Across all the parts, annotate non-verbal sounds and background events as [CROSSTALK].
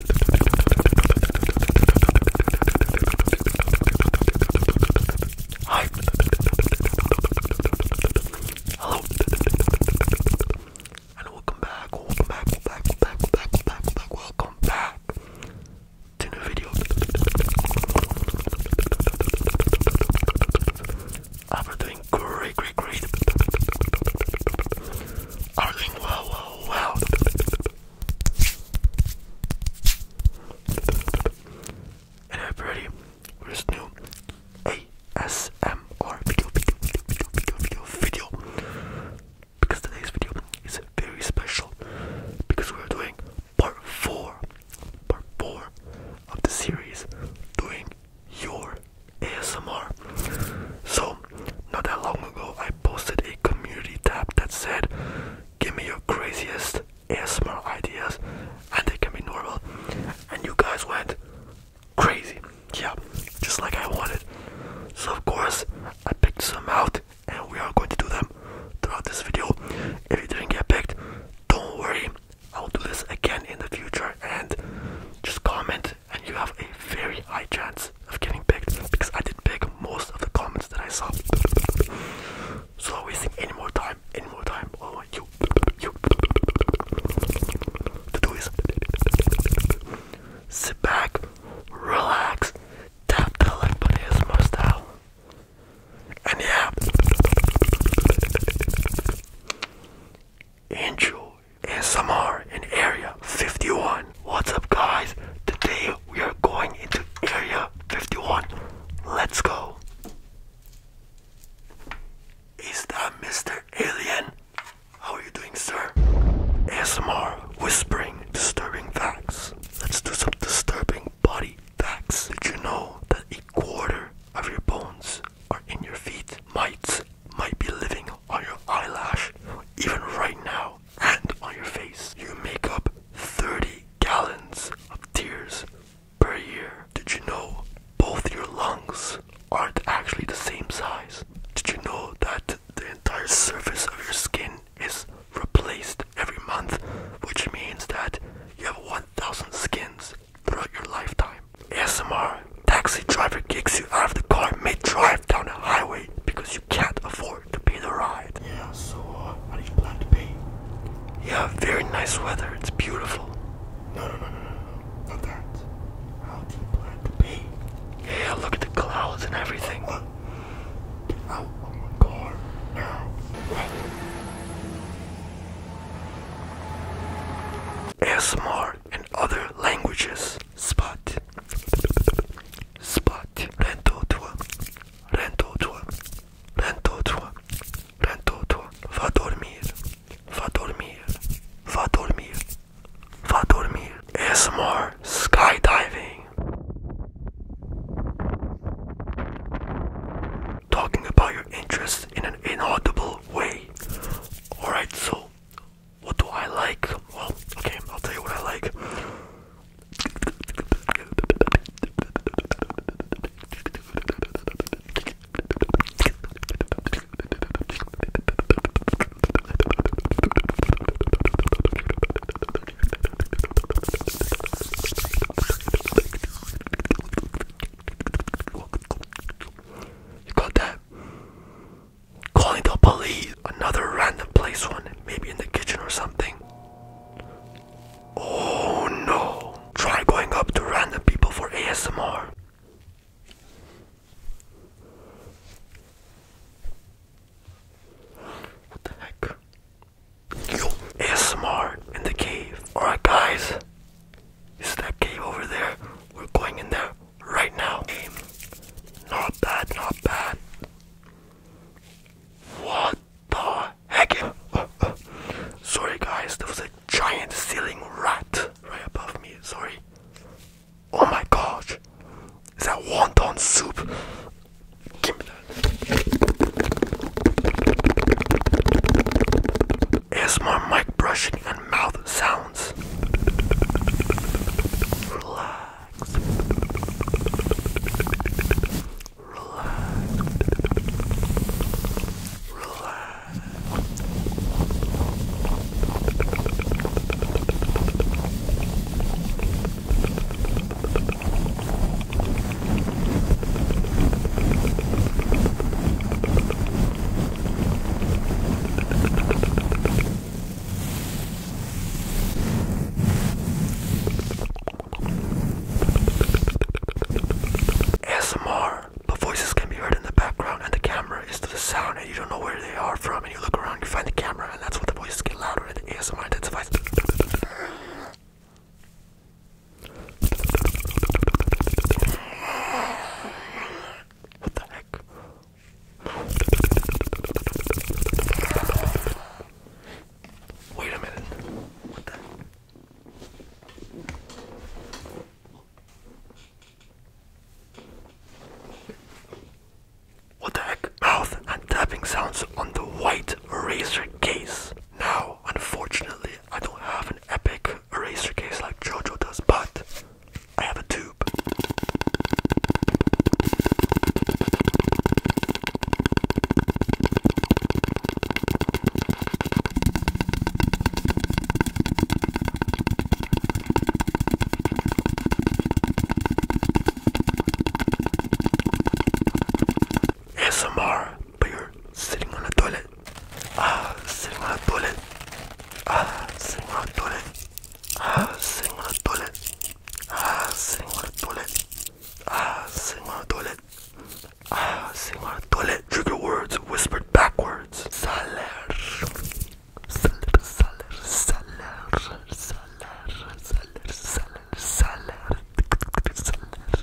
Hi. Hello. And welcome back. Welcome back. Welcome back. Welcome back. Welcome back. Welcome back. Welcome back. to new video. i am doing great, great, great. I've doing well, well. Oh, wow. everybody. We're just ASMR video, video, video, video, video, video. Because today's video is very special. Because we're doing part 4. Part 4 of the series doing your ASMR. So, not that long ago, I posted a community tab that said, Give me your craziest ASMR ideas, and they can be normal. And you guys went crazy, yeah, just like I wanted. So, of course, I picked some out, and we are going to do them throughout this video. If you didn't get picked, don't worry, I will do this again in the future. And just comment and you have a very high chance of getting picked because I did pick most of the comments that I saw. So wasting any more time, any more time. All I want you, to do is sit back, relax, tap the like button as most out. And yeah, enjoy. ASMR in Area 51. What's up, guys? Today we are going into Area 51. Let's go. Is that Mr. Alien? How are you doing, sir? ASMR whispering disturbing facts. Let's do some disturbing body facts. Did you know that a quarter of your bones are in your feet? Mites might be living on your eyelash, even right now, and on your face. You make up 30 gallons of tears per year. Did you know both your lungs aren't actually the same size? Did you know that the entire surface of your skin is replaced every month, which means that you have 1,000 skins throughout your lifetime? ASMR Taxi driver kicks you out of the car mid-drive down the highway because you can't afford to pay the ride. Yeah, so uh, how do you plan to pay? Yeah, very nice weather. It's beautiful. No, no, no, no, no, not that. How do you plan to pay? Yeah, look at the clouds and everything. get out of my car now. ASMR and other languages spot, spot, rentre toi, rentre toi, rentre toi, rentre toi, va dormir, va dormir, va dormir, va dormir. It's more skydiving. Talking about your interest in an inaudible way. Alright, so what do I like? Well, okay, I'll tell you what I like. You got that? calling the police. Another random place one, maybe in the kitchen or something. Oh no! Try going up to random people for ASMR. What the heck? Yo, ASMR in the cave. Alright, guys, is that cave over there? We're going in there right now. Not bad, not bad. What the heck? [LAUGHS] Sorry, guys, there was a giant ceiling rat right above me. Sorry. Oh my gosh, is that wonton soup? Give me that. Is my mic brushing and mouth sound? sounds. Relax. Relax. Relax. ASMR, but voices can be heard in the background and the camera is to the sound and you don't know where they are from and you look around, you find the camera and that's what the voices get louder and the ASMR intensifies. What the heck? Wait a minute. What the? heck? Mouth and tapping sounds on the white eraser case. Now, unfortunately, I don't have an epic eraser case like Jojo does, but I have a tube. ASMR, but you're sitting on a toilet. Ah, sitting on a toilet. Ah, sitting on a toilet a single toilet, a single toilet, a single toilet, a single toilet. Trigger words whispered backwards. Saler, saler, saler, saler, saler, saler, saler, saler.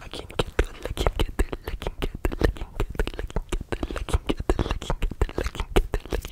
I can't get it, I can't get it, I can't get it, I can't get it, I can't get it, I can't get it, I can't get it, I can't get it.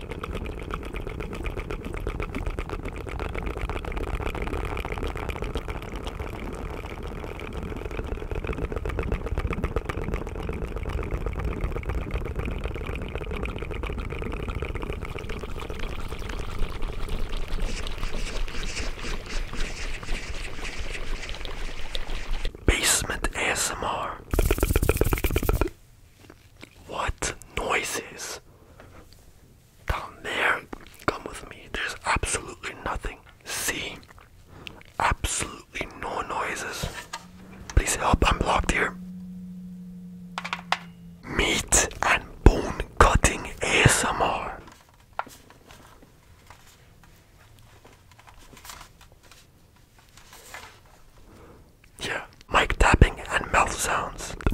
Basement ASMR. What noises? Down there, come with me. There's absolutely nothing. See? Absolutely no noises. Please help, I'm blocked here. Meat and bone cutting ASMR. Yeah. Mic tapping and mouth sounds. [LAUGHS]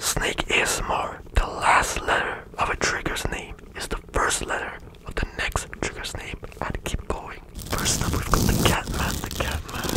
Snake is more. The last letter of a trigger's name is the first letter of the next trigger's name. And keep going. First up, we've got the Catman. The Catman.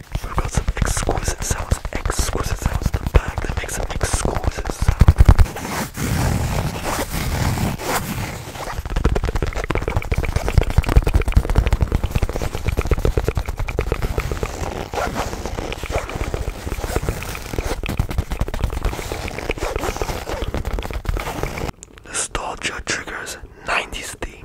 We've got some exquisite sounds, exquisite sounds in the bag that makes an exquisite sound. Nostalgia triggers 90s theme.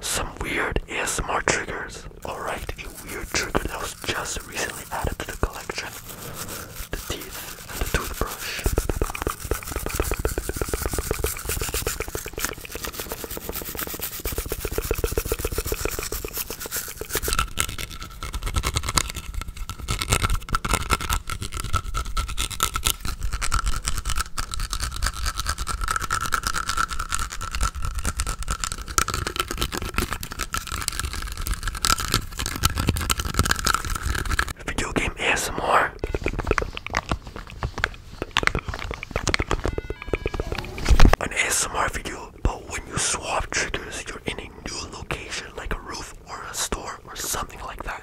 some weird ASMR triggers. Alright, a weird trigger that was just recently added to the collection. The teeth and the toothbrush. Video game ASMR. An ASMR video, but when you swap triggers, you're in a new location like a roof or a store or something like that.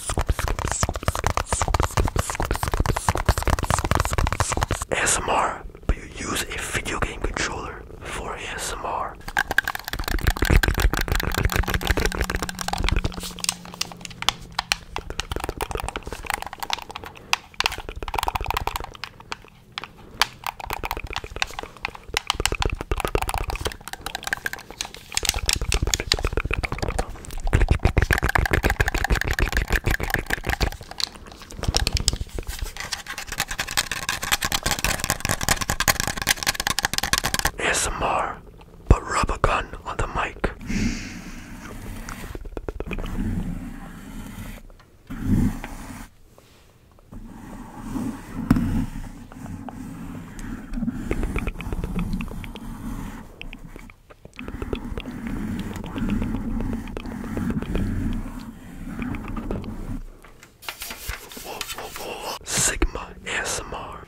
ASMR, but you use a video game controller for ASMR. ASMR, but rub a gun on the mic. Sigma SMR.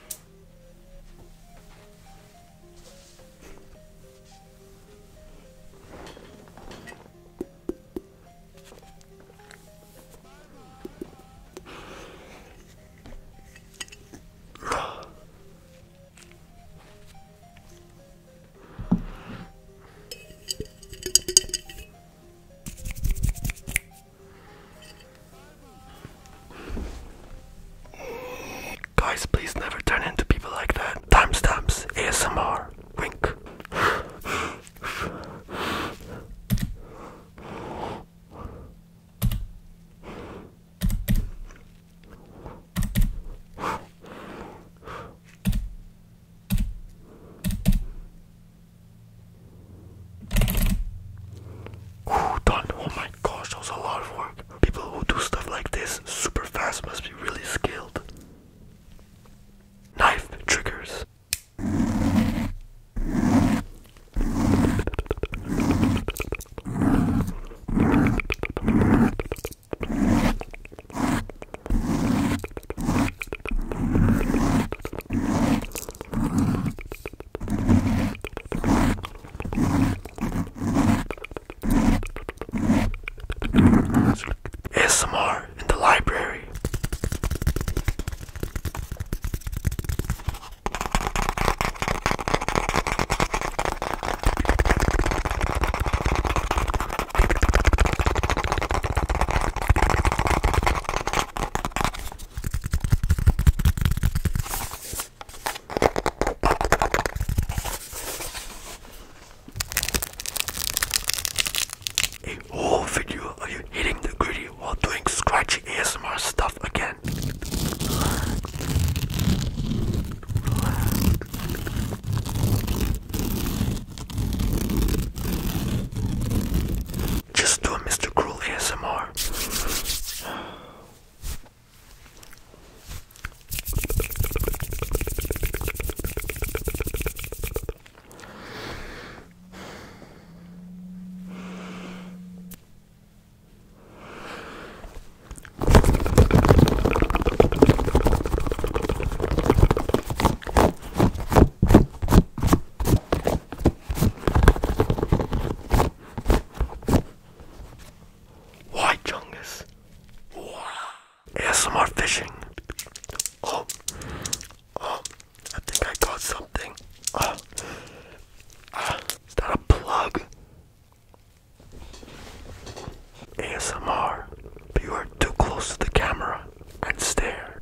Guys, please never turn into people like that. Timestamps, ASMR, wink done. Oh my gosh, that was a lot of work. People who do stuff like this super fast must be really skilled. Knife triggers. ASMR in the library. A whole video of you hitting the gritty we're doing scratchy ASMR stuff again. Just do a Mr. Cruel ASMR. Why Chungus? ASMR fishing. Oh. Oh. I think I caught something. Ah. Ah. is that a plug? ASMR, but you are too close to the camera and stare.